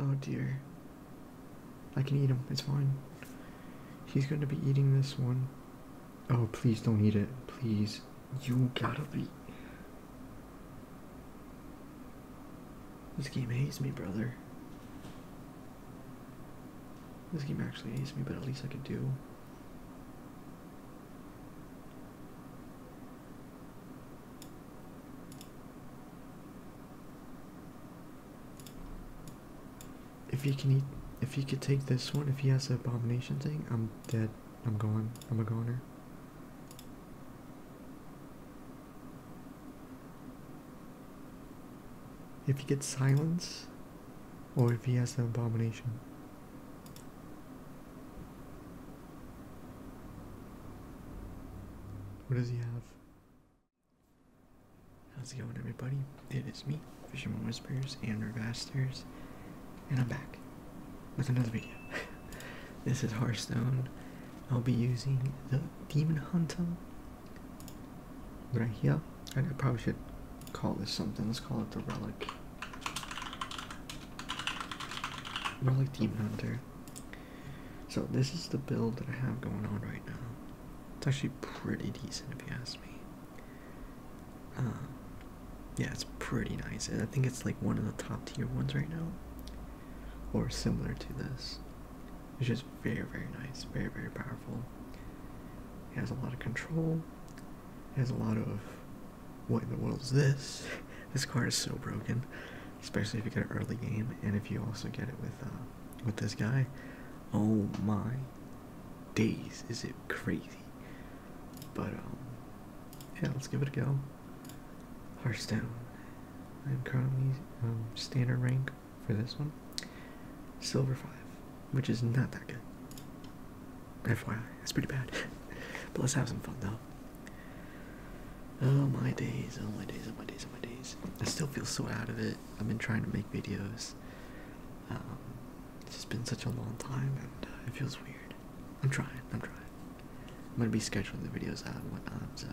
Oh dear. I can eat him. It's fine. He's going to be eating this one. Oh, please don't eat it. Please. You gotta be. This game hates me, brother. This game actually hates me, but at least I can do if he can eat, if he could take this one, if he has the abomination thing, I'm dead. I'm gone. I'm a goner. If he gets silence, or if he has an abomination. What does he have? How's it going everybody? It is me, Fisherman Whispers and Revasters, and I'm back with another video. this is Hearthstone. I'll be using the Demon Hunter right here I probably should call this something. Let's call it the Relic. Relic Demon Hunter. So this is the build that I have going on right now. It's actually pretty decent if you ask me. Um, yeah, it's pretty nice. And I think it's like one of the top tier ones right now. Or similar to this. It's just very, very nice. Very, very powerful. It has a lot of control has a lot of what in the world is this? This card is so broken, especially if you get an early game, and if you also get it with uh, with this guy. Oh my days, is it crazy? But um, yeah, let's give it a go. Hearthstone. I'm currently um, standard rank for this one. Silver five which is not that good. FYI, it's pretty bad. but let's have some fun though. Oh my days, oh my days, oh my days, oh my days. I still feel so out of it. I've been trying to make videos. Um, it's just been such a long time and uh, it feels weird. I'm trying, I'm trying. I'm gonna be scheduling the videos out and whatnot, so.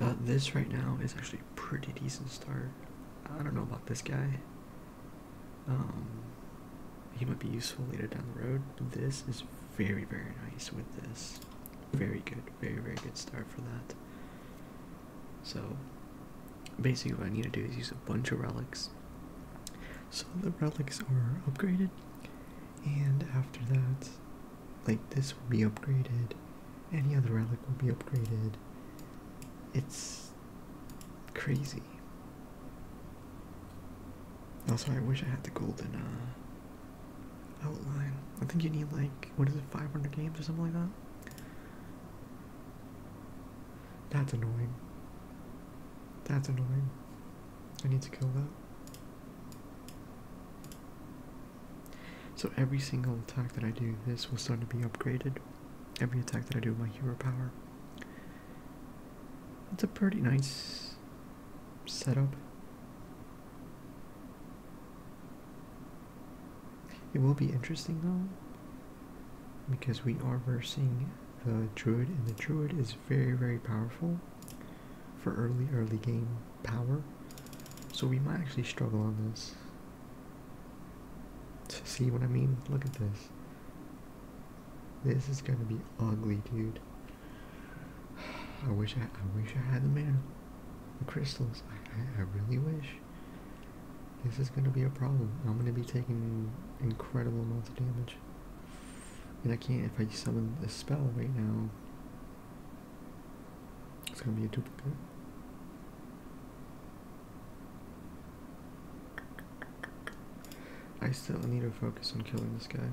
Uh, this right now is actually pretty decent start. I don't know about this guy. Um, he might be useful later down the road. This is very, very nice with this. Very good, very, very good start for that. So, basically, what I need to do is use a bunch of relics. So the relics are upgraded, and after that, like this will be upgraded, any other relic will be upgraded, it's crazy. Also, I wish I had the golden uh, outline. I think you need like what is it, 500 games or something like that. That's annoying. That's annoying. I need to kill that. So every single attack that I do, this will start to be upgraded every attack that I do with my hero power. It's a pretty nice setup. It will be interesting though, because we are versing the druid, and the druid is very, very powerful for early, early game power. So we might actually struggle on this. To See what I mean? Look at this. This is gonna be ugly, dude. I wish I, I wish I had the mirror, the crystals. I, I, really wish. This is gonna be a problem. I'm gonna be taking incredible amounts of damage, and I can't if I summon the spell right now. It's gonna be a duplicate. I still need to focus on killing this guy.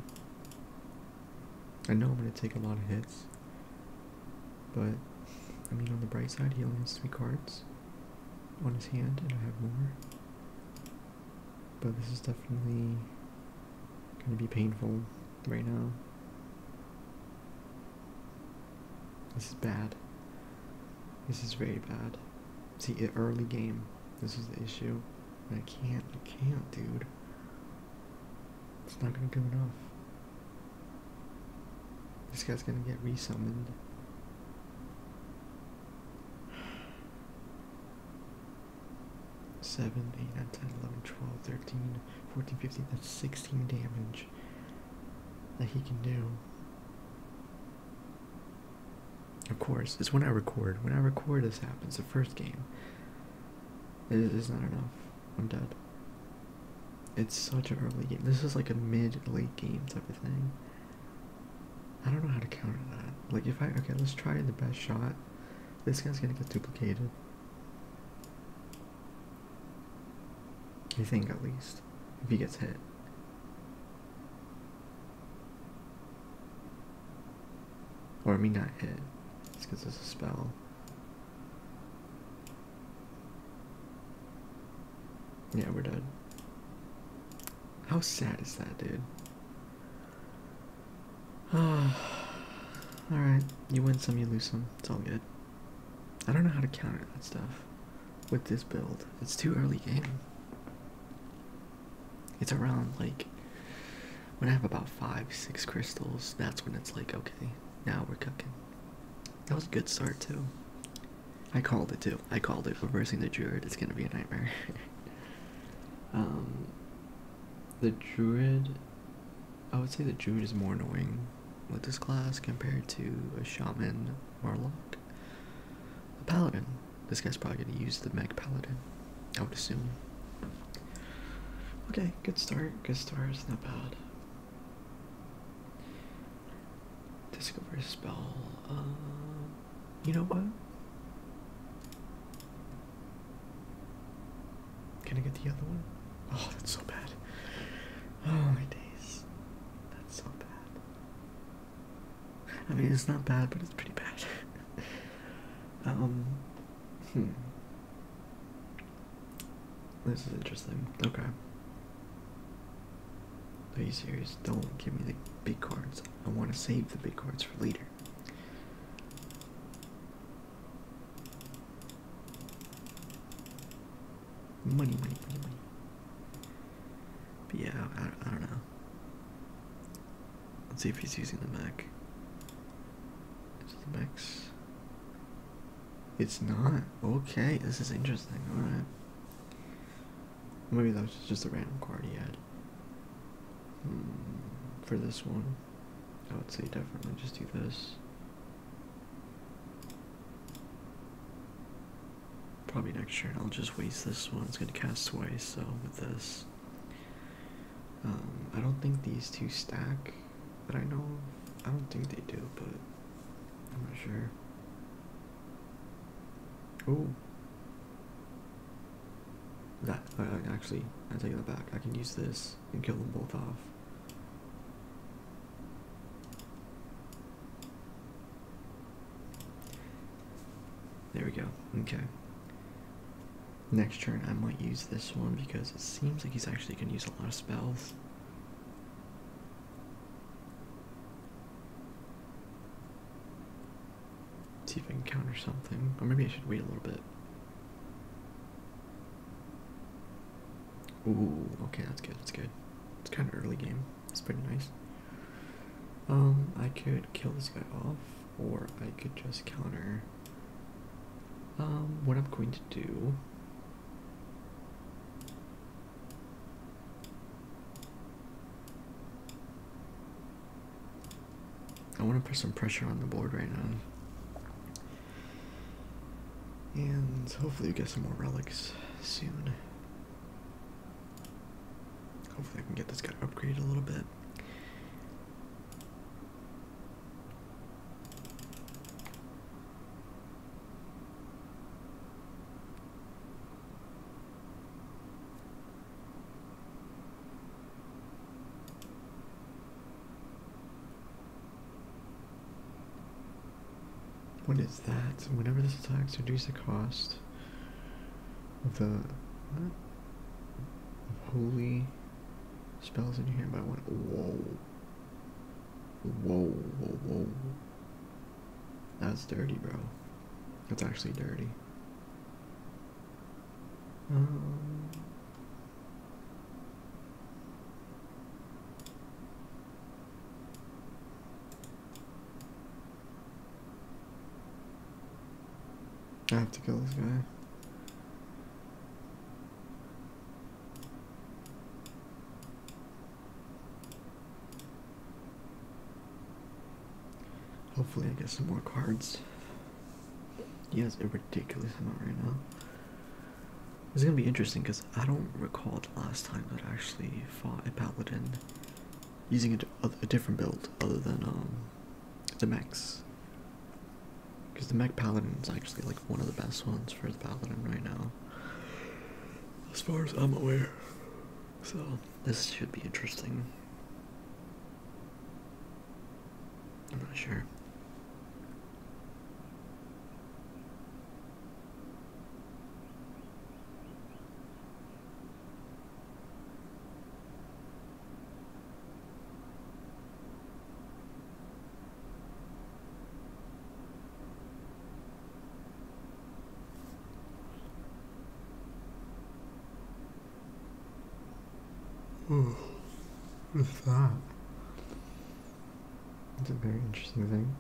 I know I'm going to take a lot of hits, but I mean, on the bright side, he only has three cards on his hand, and I have more. But this is definitely going to be painful right now. This is bad. This is very bad. See, early game. This is the issue. I can't. I can't, dude. It's not gonna do enough. This guy's gonna get resummoned. Seven, eight, nine, 10, 11, 12, 13, 14, 15, that's 16 damage that he can do of course, it's when I record. When I record, this happens. The first game. is not enough. I'm dead. It's such an early game. This is like a mid-late game type of thing. I don't know how to counter that. Like if I okay, let's try the best shot. This guy's gonna get duplicated. You think at least, if he gets hit. Or me not hit, it's because it's a spell. Yeah, we're dead. How sad is that, dude? Alright, you win some, you lose some. It's all good. I don't know how to counter that stuff with this build. It's too early game. It's around like when I have about five, six crystals, that's when it's like, okay, now we're cooking. That was a good start too. I called it too. I called it. Reversing the druid It's gonna be a nightmare. um the druid I would say the druid is more annoying with this class compared to a shaman Marlock. A paladin. This guy's probably gonna use the Meg Paladin, I would assume. Okay, good start, good start, it's not bad. Discover a spell. Uh, you know what? Can I get the other one? Oh, that's so bad. Oh my days. That's so bad. I mean, it's not bad, but it's pretty bad. um, hmm. This is interesting. Okay. Are you serious? Don't give me the big cards. I want to save the big cards for later money, money, money, money. But yeah, I, don't know. Let's see if he's using the Mac. Is the Mac's? It's not. Okay, this is interesting. All right. Maybe that was just a random card he had. Hmm, for this one, I would say definitely just do this. Probably next turn. I'll just waste this one. It's going to cast twice, so with this. Um, I don't think these two stack But I know I don't think they do, but I'm not sure. Oh. That, actually, I take that back. I can use this and kill them both off. There we go. Okay. Next turn, I might use this one because it seems like he's actually going to use a lot of spells. see if I can counter something. Or maybe I should wait a little bit. Ooh, okay, that's good, that's good. It's kind of early game. It's pretty nice. Um, I could kill this guy off, or I could just counter. Um, what I'm going to do. I want to put some pressure on the board right now. And hopefully, we get some more relics soon. Hopefully, I can get this guy upgraded a little bit. What is that? Whenever this attacks, reduce the cost of the holy spells in your hand by one. Whoa. Whoa, whoa, whoa. That's dirty, bro. That's actually dirty. Um. I have to kill this guy. Hopefully I get some more cards. He has a ridiculous amount right now. It's gonna be interesting because I don't recall last time that I actually fought a paladin using a, a different build other than um, the mechs. Because the mech paladin is actually like one of the best ones for the paladin right now. As far as I'm aware. So, this should be interesting. I'm not sure. Ooh, hmm. what is that? It's a very interesting thing.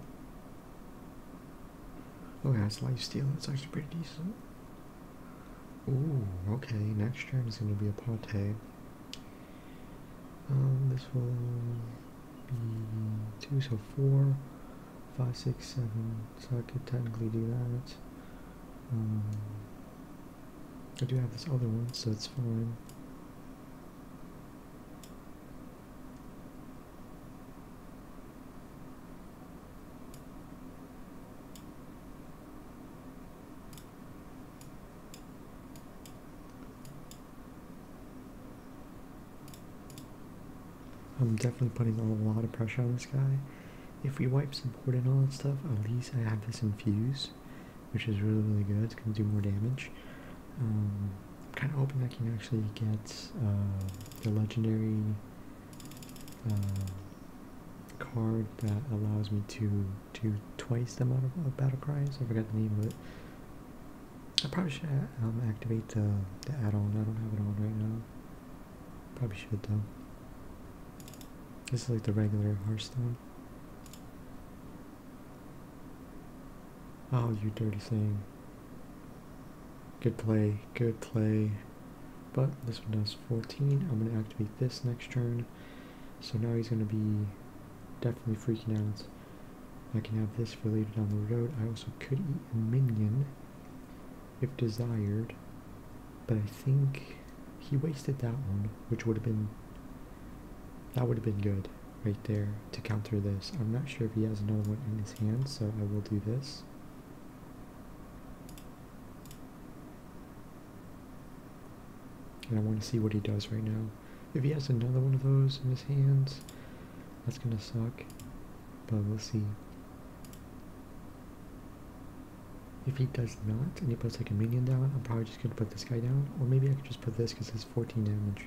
Look, oh, that's life steal. That's actually pretty decent. Ooh, okay. Next turn is going to be a Pate. Um, this will be two, so four, five, six, seven. So I could technically do that. Um, I do have this other one, so it's fine. I'm definitely putting a lot of pressure on this guy. If we wipe support and all that stuff, at least I have this infuse, which is really, really good. It's going to do more damage. I'm um, kind of hoping I can actually get uh, the legendary uh, card that allows me to do twice the amount of, battle cries. I forgot the name of it. I probably should uh, um, activate the, the add-on. I don't have it on right now. Probably should though. This is like the regular Hearthstone. Oh, you dirty thing. Good play, good play. But this one does 14. I'm going to activate this next turn. So now he's going to be definitely freaking out. I can have this for later down the road. I also could eat a minion if desired. But I think he wasted that one, which would have been... That would have been good right there to counter this. I'm not sure if he has another one in his hand, so I will do this. And I want to see what he does right now. If he has another one of those in his hands, that's going to suck. But we'll see. If he does not, and he puts like a minion down, I'm probably just going to put this guy down. Or maybe I could just put this because it's 14 damage.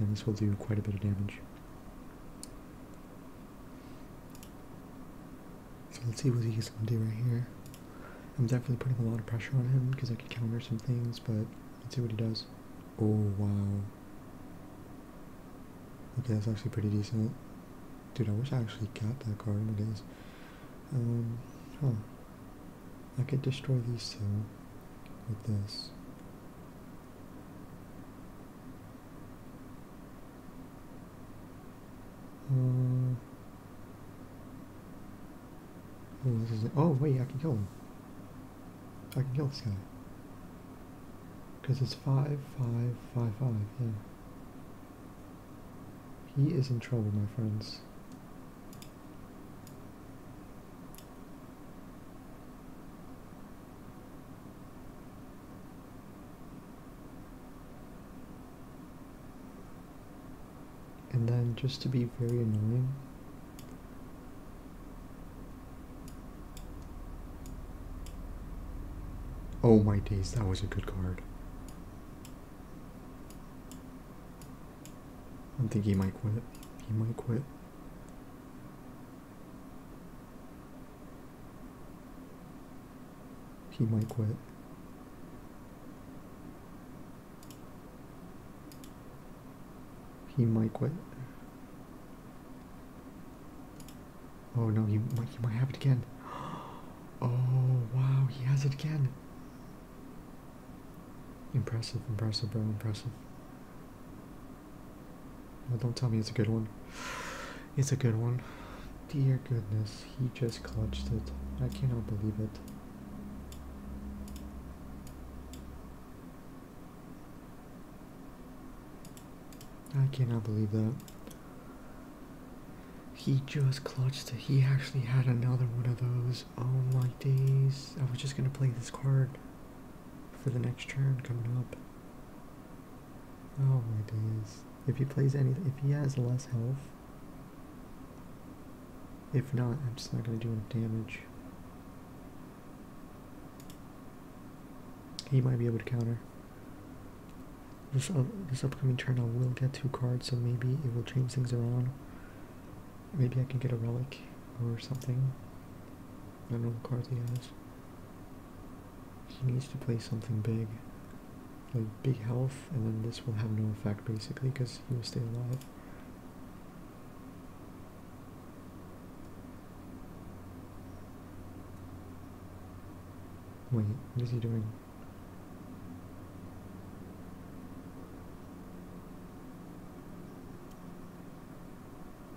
And this will do quite a bit of damage. So let's see what he's going to do right here. I'm definitely putting a lot of pressure on him because I could counter some things, but let's see what he does. Oh, wow. Okay, that's actually pretty decent. Dude, I wish I actually got that card nowadays. Um, huh. I could destroy these two with this. Uh, oh, oh wait, I can kill him. I can kill this guy. Because it's five, five, five, five. Yeah. He is in trouble, my friends. And then just to be very annoying, Oh my days, that was a good card. I think he might quit. He might quit. He might quit. He might quit. Oh no, he might, he might have it again. Oh wow, he has it again. Impressive, impressive, bro, impressive don't tell me it's a good one. It's a good one. Dear goodness, he just clutched it. I cannot believe it. I cannot believe that. He just clutched it. He actually had another one of those. Oh my days. I was just going to play this card for the next turn coming up. Oh my days. If he plays anything, if he has less health, if not, I'm just not going to do any damage. He might be able to counter. This, uh, this upcoming turn I will get two cards, so maybe it will change things around. Maybe I can get a relic or something. I know Manuel has. He needs to play something big. Like big health, and then this will have no effect basically because he will stay alive. Wait, what is he doing?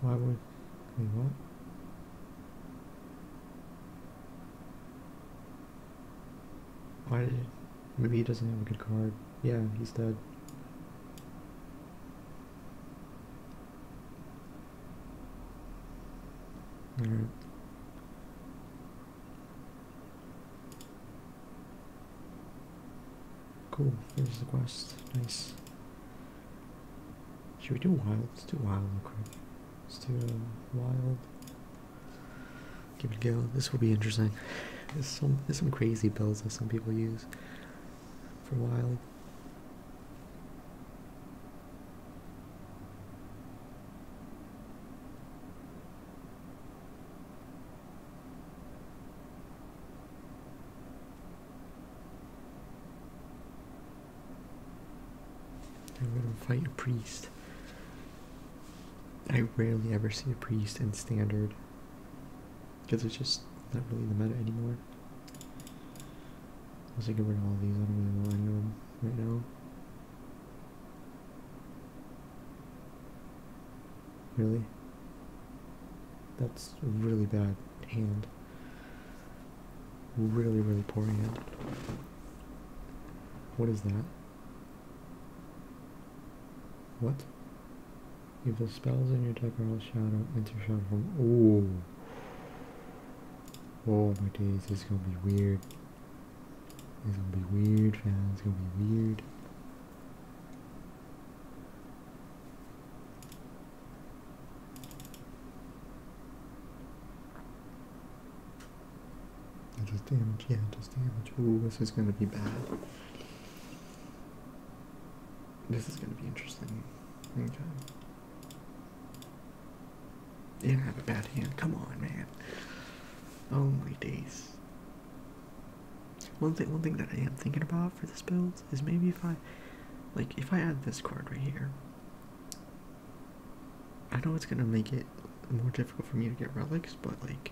Why would what? Mm-hmm. Why did Maybe he doesn't have a good card. Yeah, he's dead. Alright. Cool, there's the quest. Nice. Should we do wild? Let's do wild real quick. Let's do wild. Give it a go. This will be interesting. There's some there's some crazy builds that some people use for wild. I'm gonna fight a priest. I rarely ever see a priest in standard because it's just not really the matter anymore. Let's get rid of all these. I don't really want any of them right now. Really? That's really bad hand. Really, really poor hand. What is that? What? Evil spells in your deck are all shadow, enter shadow from. Oh. Oh my days, this is gonna be weird. This is gonna be weird, fans. It's gonna be weird. Just damage, yeah, just damage. Ooh, this is gonna be bad. This is gonna be interesting. Okay. Didn't have a bad hand. Come on, man. Oh my days. One thing, one thing that I am thinking about for this build is maybe if I, like, if I add this card right here, I know it's gonna make it more difficult for me to get relics, but like,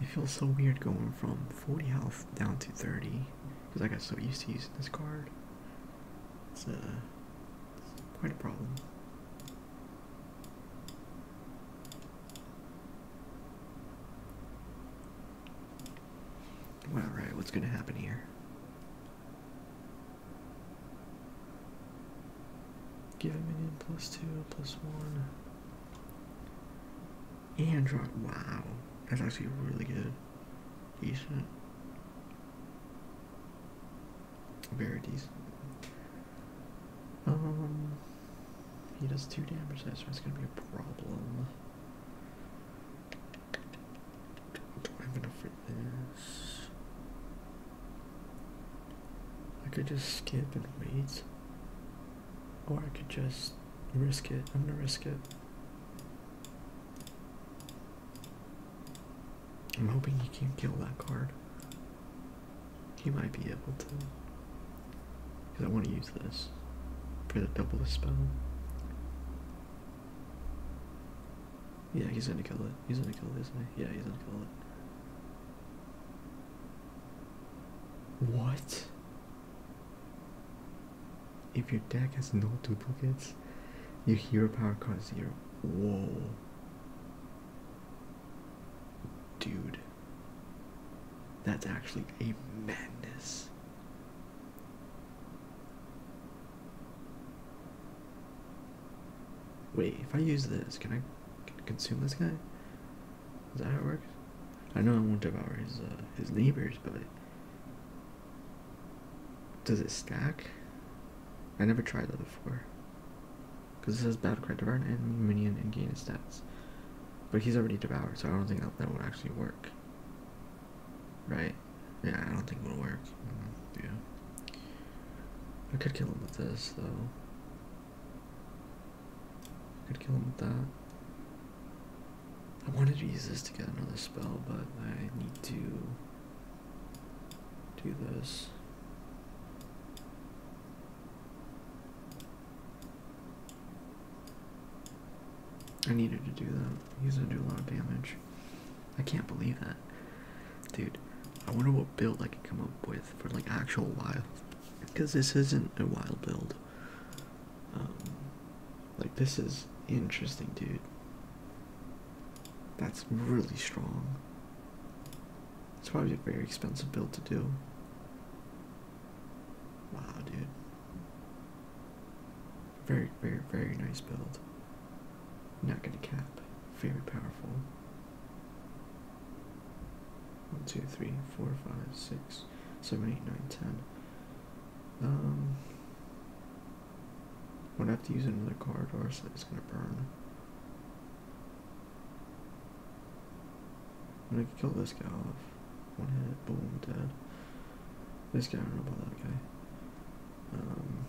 it feels so weird going from 40 health down to 30 because I got so used to using this card. It's, a uh, it's quite a problem. All right, what's going to happen here? Give him an plus two, plus one. And drop. Wow. That's actually really good. Decent. Very decent. Um. He does two damage, that's It's going to be a problem. Do I have enough for this? I could just skip and wait. Or I could just risk it. I'm gonna risk it. I'm hoping he can not kill that card. He might be able to. Because I want to use this for the double the spell. Yeah, he's gonna kill it. He's gonna kill it, isn't he? Yeah, he's gonna kill it. What? If your deck has no duplicates, your hero power card zero. Whoa. Dude. That's actually a madness. Wait, if I use this, can I can consume this guy? Is that how it works? I know I won't devour his uh, his neighbors, but does it stack? I never tried that before. Because it says battle cry devour and minion and gain stats, but he's already devoured, so I don't think that, that would actually work. Right? Yeah, I don't think it'll work. Mm, yeah. I could kill him with this, though. I could kill him with that. I wanted to use this to get another spell, but I need to do this. I needed to do that. because I do a lot of damage. I can't believe that. Dude, I wonder what build I could come up with for like actual wild. Because this isn't a wild build. Um, like this is interesting, dude. That's really strong. It's probably a very expensive build to do. Wow, dude. Very, very, very nice build. Not gonna cap. Very powerful. One, two, three, four, five, six, seven, eight, nine, ten. Um, I'm gonna have to use another card, or else it's gonna burn. I'm gonna kill this guy off. One hit, boom, dead. This guy, I don't know about that guy. Um,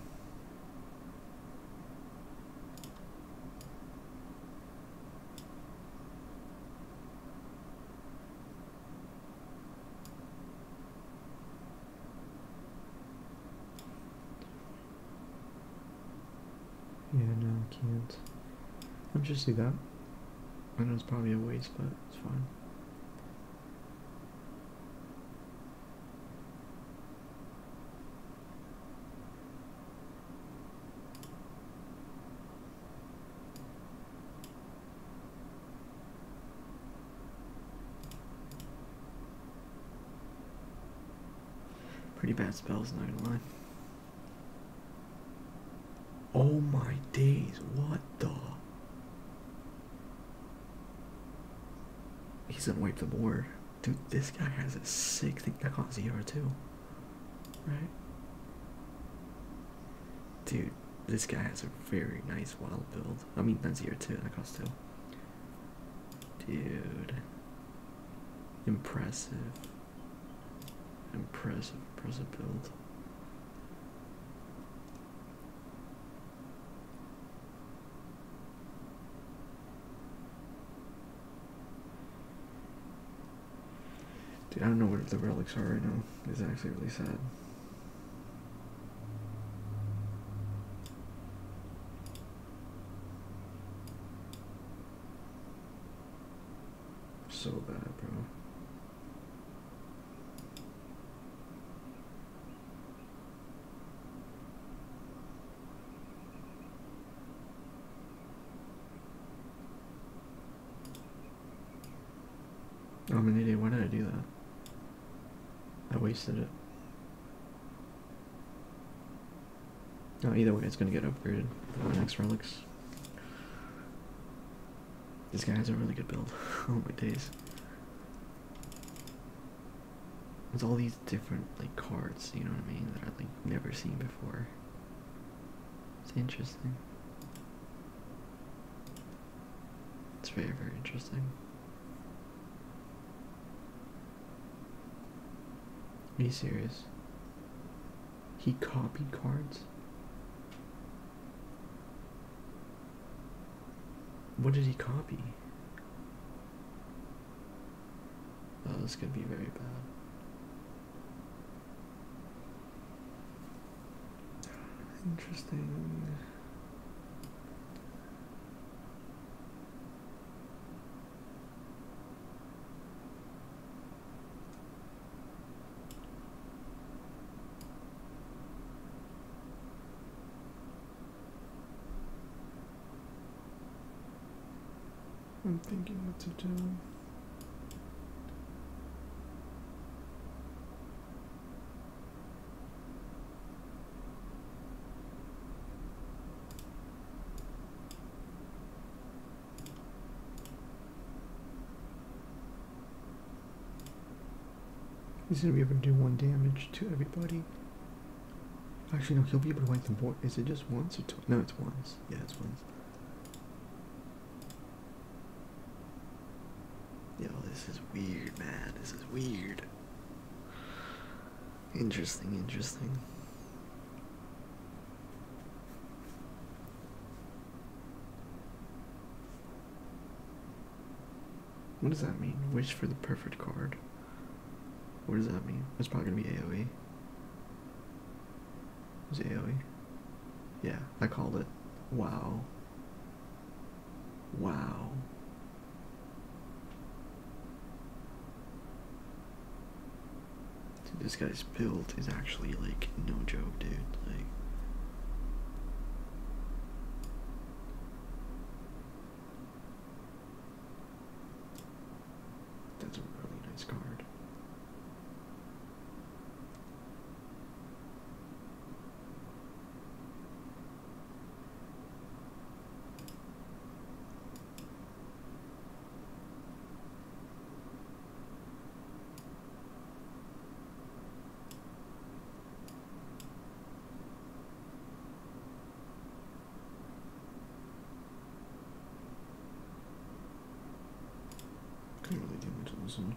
yeah, no, I can't. I'll just do that. I know it's probably a waste, but it's fine. Pretty bad spells, not gonna lie. Oh my days, what the? He's gonna wipe the board. Dude, this guy has a sick thing that on ZR Right? Dude, this guy has a very nice wild build. I mean that's zero two too, that costs two. Dude. Impressive. Impressive, impressive build. Dude, I don't know where the relics are right now. It's actually really sad. So bad, bro. I'm an idiot. Why did I do that? I wasted it. No, oh, either way, it's gonna get upgraded the next relics. This guy has a really good build. oh my days with all these different like cards, you know what I mean, that I've like never seen before. It's interesting. It's very, very interesting. Are you serious? He copied cards? What did he copy? Oh, this could be very bad. Interesting. I'm thinking what to do. Is He's gonna be able to do one damage to everybody. Actually, no, he'll be able to wipe them. board. Is it just once or two? No, it's once. Yeah, it's once. Yo, this is weird, man. This is weird. Interesting, interesting. What does that mean? Wish for the perfect card. What does that mean? It's probably gonna be AoE. Is it AoE? Yeah, I called it. Wow. Wow. this guy's build is actually like no joke, dude. Like that's a really nice card. Couldn't really do much on this one.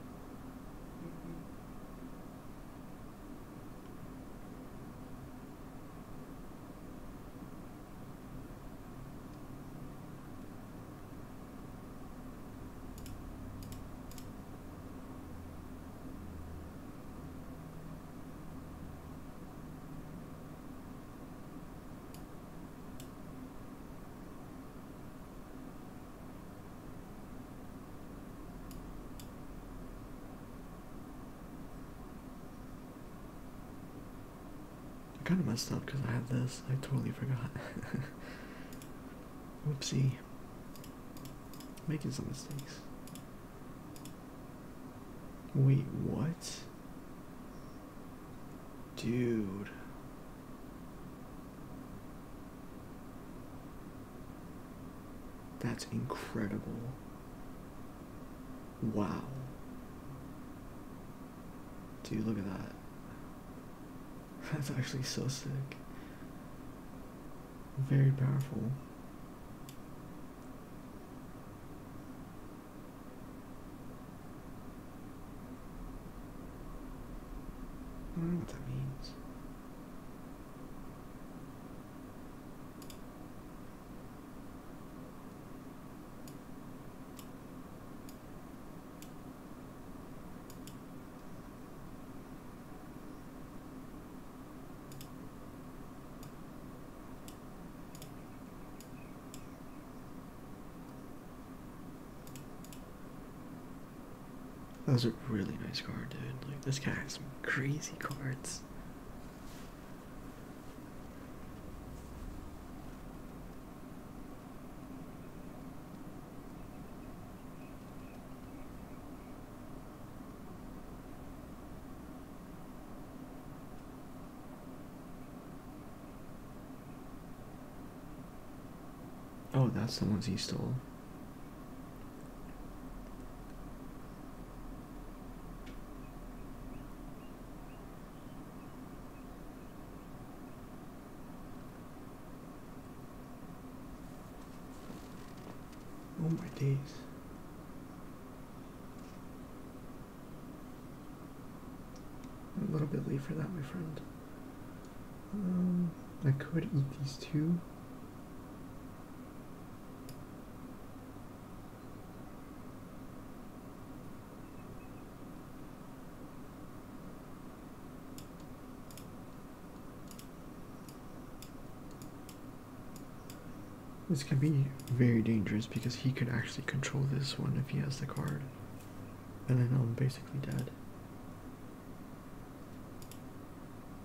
I kind of messed up because I have this. I totally forgot. Whoopsie. Making some mistakes. Wait, what? Dude. That's incredible. Wow. Dude, look at that. That's actually so sick very powerful. I don't know what that means. That was a really nice card, dude. Like, this guy has some crazy cards. Oh, that's the one he stole. Oh my days. a little bit late for that, my friend. Um, I could eat these two. This can be very dangerous because he could actually control this one if he has the card. And then I'm basically dead.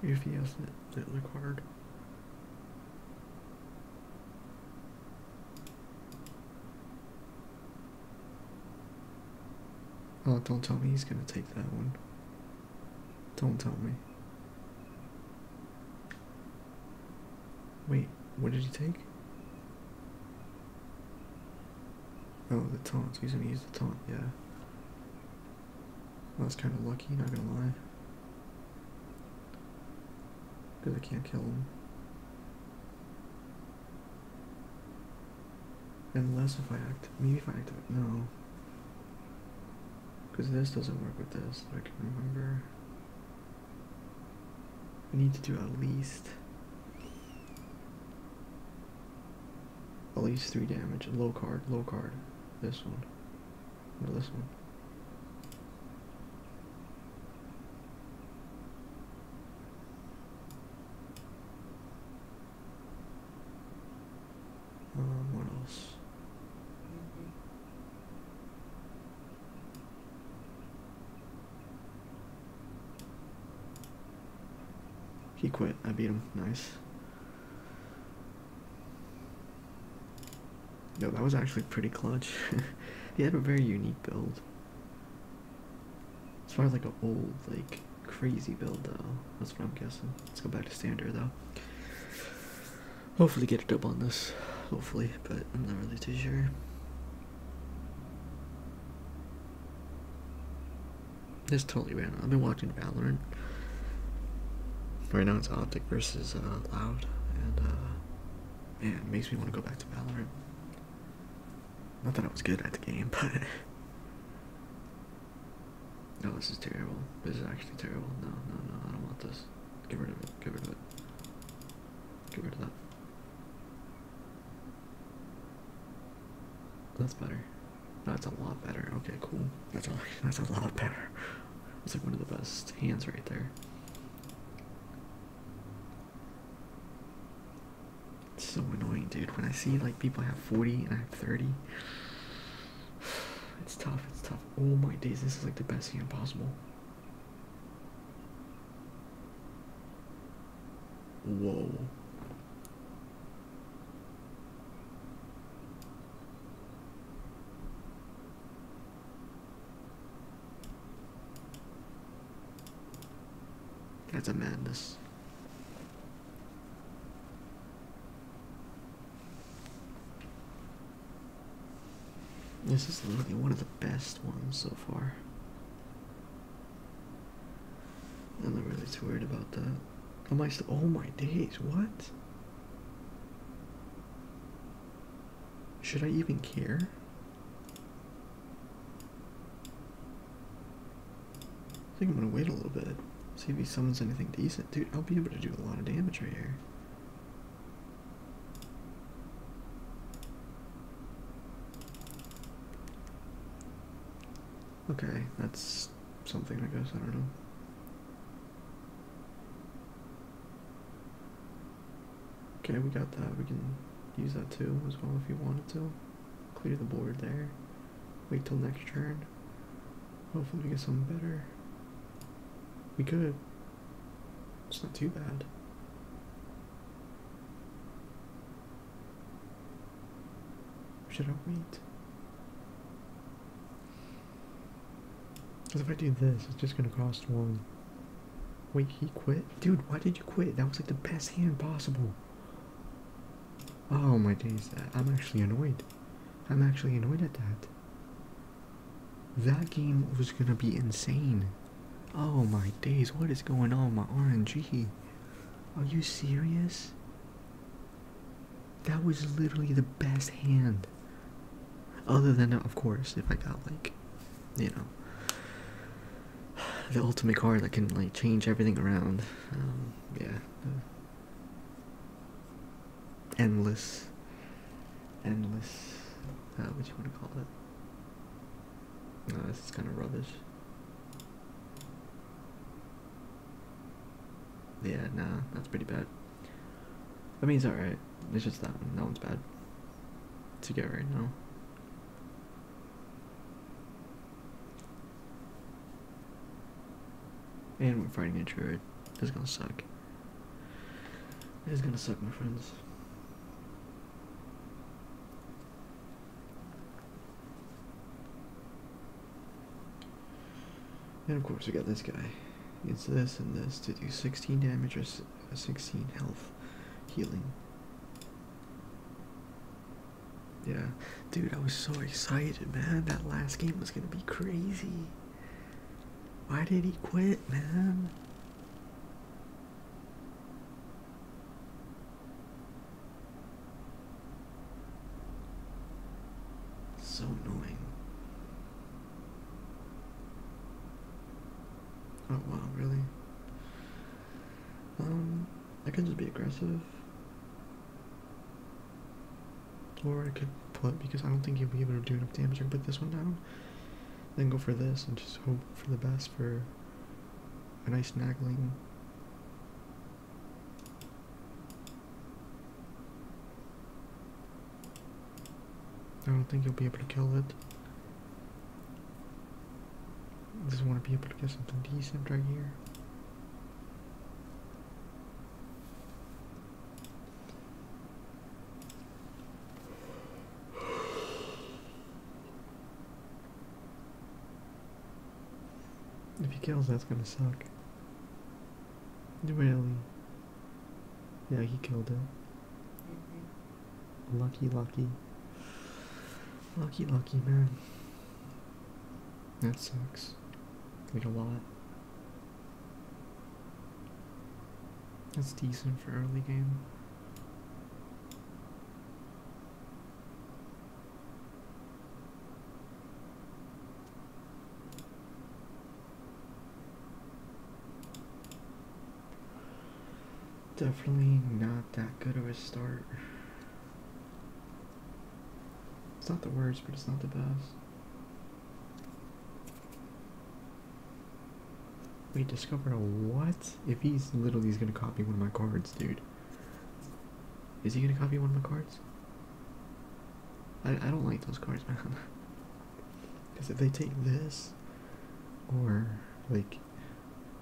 If he has the, the card. Oh, don't tell me he's gonna take that one. Don't tell me. Wait, what did he take? Oh, the tarts. He's gonna use the tarts. yeah. Well, that's kind of lucky, not gonna lie. Because I can't kill him. Unless if I act. Maybe if I act. No. Because this doesn't work with this, I can remember. We need to do at least... At least three damage. Low card, low card. This one. Or this one. Um, what else? He quit. I beat him. Nice. No, that was actually pretty clutch. he had a very unique build. As far as like an old, like, crazy build, though. That's what I'm guessing. Let's go back to standard, though. Hopefully get a dub on this. Hopefully, but I'm not really too sure. This totally random. I've been watching Valorant. Right now it's Optic versus uh, Loud, and uh, man, it makes me want to go back to Valorant. Not that I was good at the game, but no, this is terrible. This is actually terrible. No, no, no, I don't want this. Get rid of it. Get rid of it. Get rid of that. That's better. That's a lot better. Okay, cool. That's a, that's a lot better. It's like one of the best hands right there. It's so annoying, dude. When I see like people have 40 and I have 30, it's tough. It's tough. Oh my days, this is like the best scam possible. Whoa. That's a madness. This is literally one of the best ones so far. I'm not really too worried about that. Am I still? Oh my days! What? Should I even care? I think I'm gonna wait a little bit. See if he summons anything decent. Dude, I'll be able to do a lot of damage right here. Okay, that's something, I guess. I don't know. Okay, we got that. We can use that too as well if you wanted to. Clear the board there. Wait till next turn. Hopefully we get something better. We could. It's not too bad. Should I wait? Because if I do this, it's just gonna cost one. Wait, he quit? Dude, why did you quit? That was like the best hand possible. Oh my days, I'm actually annoyed. I'm actually annoyed at that. That game was gonna be insane. Oh my days, what is going on my RNG? Are you serious? That was literally the best hand. Other than, of course, if I got like, you know, the ultimate card that can like change everything around. Um, yeah, endless, endless, uh, What do you want to call it? this is kind of rubbish. Yeah, nah, that's pretty bad. I mean, it's alright. It's just that one. That one's bad to get right now. And we're fighting a druid. is gonna suck. It is gonna suck, my friends. And of course, we got this guy. It's this and this to do 16 damage or uh, 16 health healing. Yeah, dude, I was so excited, man. That last game was gonna be crazy. Why did he quit, man? So annoying. Oh wow, really? Um, I can just be aggressive. Or I could put, because I don't think you'll be able to do enough damage, to put this one down, then go for this, and just hope for the best for a nice nagging. I don't think you'll be able to kill it. I just want to be able to get something decent right here. If he kills, that's gonna suck. Really? Yeah, he killed him. Mm-hmm. Lucky, lucky. Lucky, lucky, man. That sucks. Like a lot. That's decent for early game. Definitely not that good of a start. It's not the worst, but it's not the best. We discovered a what? If he's literally he's gonna copy one of my cards, dude. Is he gonna copy one of my cards? I I don't like those cards, man. Because if they take this or like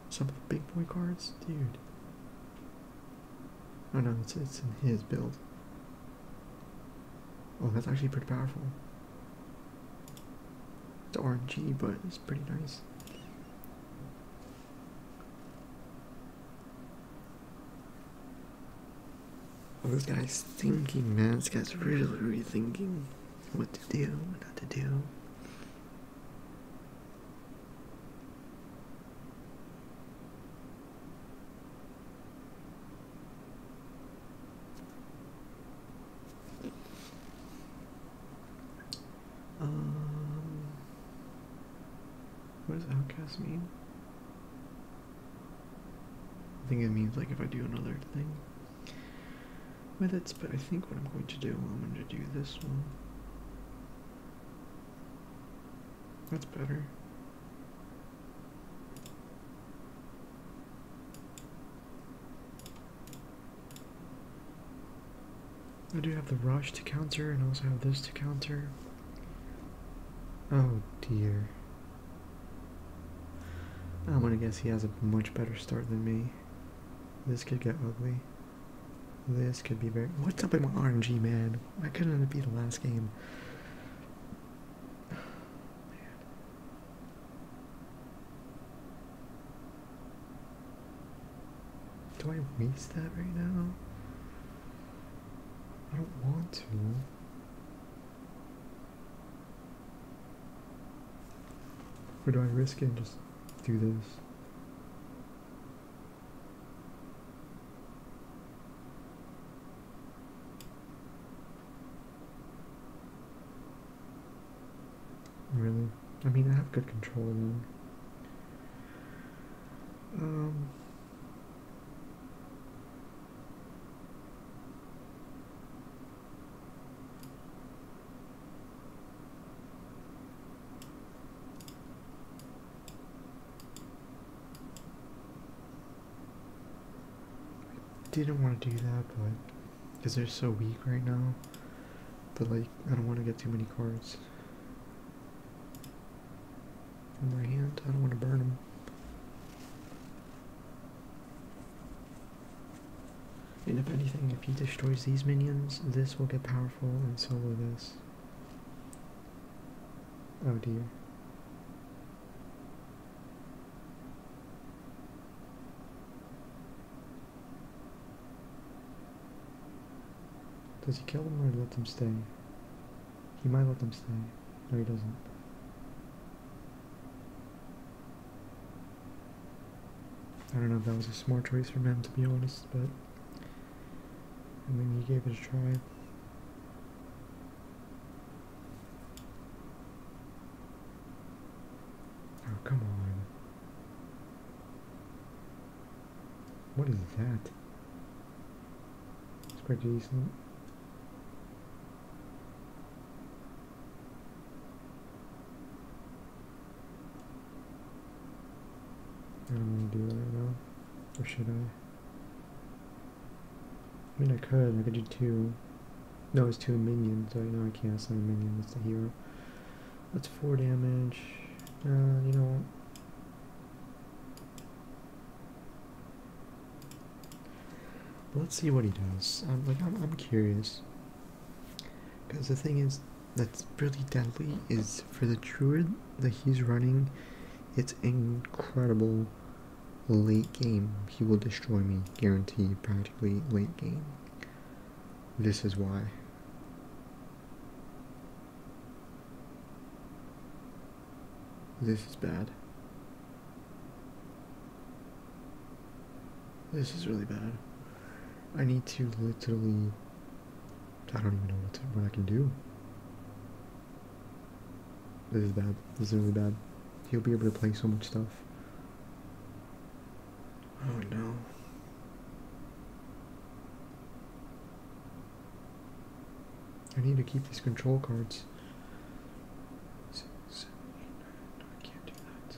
some of the big boy cards, dude. Oh no, it's it's in his build. Oh, that's actually pretty powerful. It's RNG, but it's pretty nice. Oh, this guy's thinking, man. This guy's really, really thinking what to do, what not to do. Um, what does outcast mean? I think it means like if I do another thing with it, but I think what I'm going to do, I'm going to do this one. That's better. I do have the rush to counter and also have this to counter. Oh dear. I'm gonna guess he has a much better start than me. This could get ugly. This could be very- What's up with my RNG, man? Why couldn't it be the last game. Do I waste that right now? I don't want to. Or do I risk it and just do this? Really? I mean, I have good control of them. Um, I didn't want to do that, but because they're so weak right now, but like I don't want to get too many cards in my hand. I don't want to burn them. And if anything, if he destroys these minions, this will get powerful, and so will this. Oh dear. Does he kill them or let them stay? He might let them stay. No, he doesn't. I don't know if that was a smart choice for him, to be honest, but... I mean, he gave it a try. Oh, come on. What is that? It's pretty decent. I don't want to do that right now. Or should I? I mean, I could. I could do two. No, it's two minions. I know I can't assign a minion. That's the hero. That's four damage. Uh, you know let's see what he does. I'm like, I'm, I'm curious. Because the thing is, that's pretty deadly is for the druid that he's running, it's incredible Late game, he will destroy me, Guarantee, practically late game. This is why. This is bad. This is really bad. I need to literally... I don't even know what, what I can do. This is bad. This is really bad. He'll be able to play so much stuff. Oh no. I need to keep these control cards. Six, seven, eight, nine. I can't do that.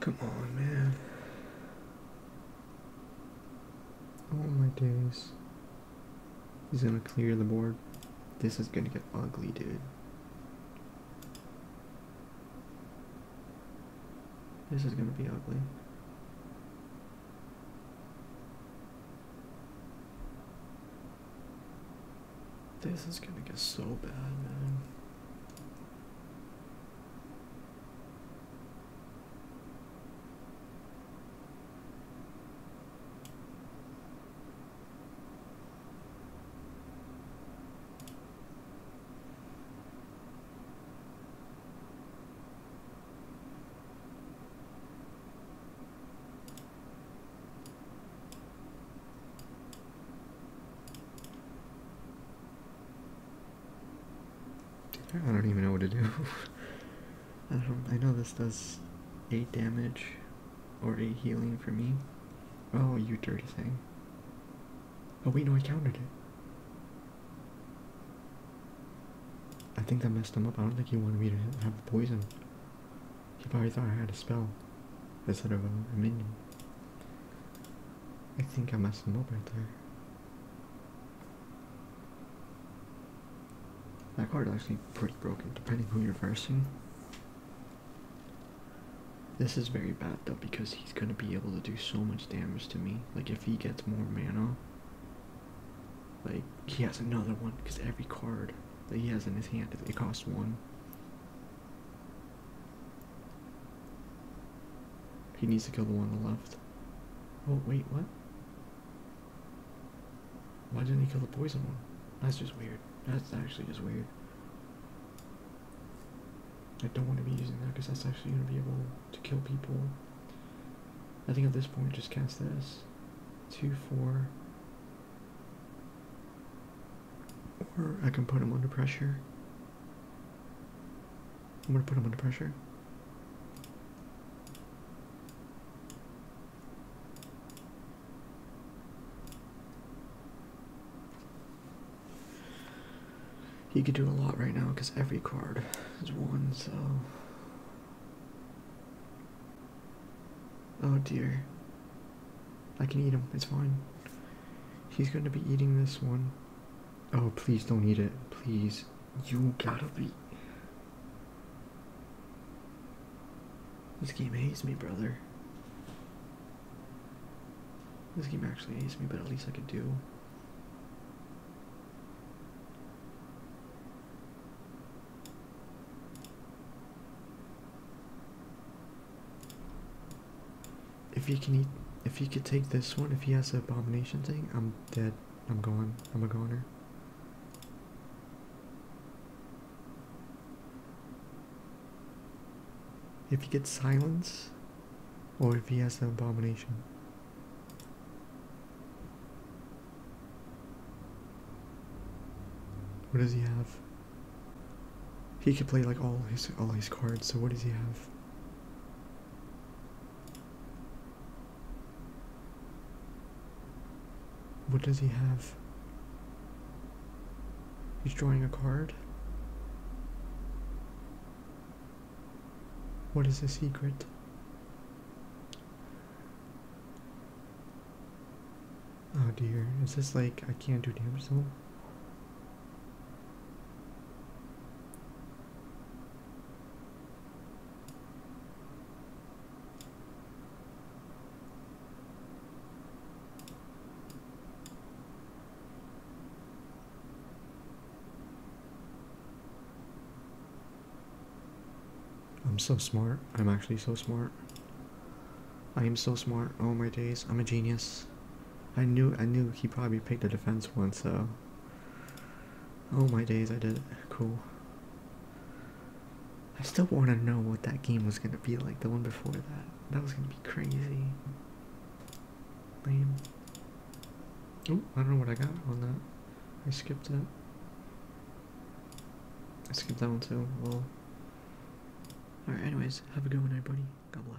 Come on, man. All my days. He's gonna clear the board. This is gonna get ugly, dude. This is gonna be ugly. This is gonna get so bad, man. I don't even know what to do. I know this does eight damage or eight healing for me. Oh, you dirty thing! Oh wait, no, I countered it. I think that messed him up. I don't think he wanted me to have the poison. He probably thought I had a spell instead of a, minion. I think I messed him up right there. That card is actually pretty broken, depending who you're facing. This is very bad though, because he's going to be able to do so much damage to me. Like if he gets more mana, like he has another one because every card that he has in his hand it costs one. He needs to kill the one on the left. Oh wait, what? Why didn't he kill the poison one? That's just weird. That's actually just weird. I don't want to be using that because that's actually going to be a to kill people. I think at this point just cast this. Two, four. Or I can put him under pressure. I'm gonna put him under pressure. He could do a lot right now because every card is one, so Oh dear. I can eat him. It's fine. He's going to be eating this one. Oh, please don't eat it. Please. You gotta be. This game hates me, brother. This game actually hates me, but at least I could do. If he can eat, if you could take this one, if he has the abomination thing, I'm dead. I'm gone, I'm a goner. If he gets silence, or if he has the abomination. What does he have? He could play like all his all his cards, so what does he have? What does he have? He's drawing a card? What is the secret? Oh dear, is this like I can't do damage zone? I'm so smart. I'm actually so smart. I am so smart. Oh my days. I'm a genius. I knew I knew he probably picked a defense one, so Oh my days, I did it. Cool. I still wanna know what that game was gonna be like, the one before that. That was gonna be crazy. Lame. Oh, I don't know what I got on that. I skipped that. I skipped that one too. Well. Alright, anyways, have a good one, everybody. God bless.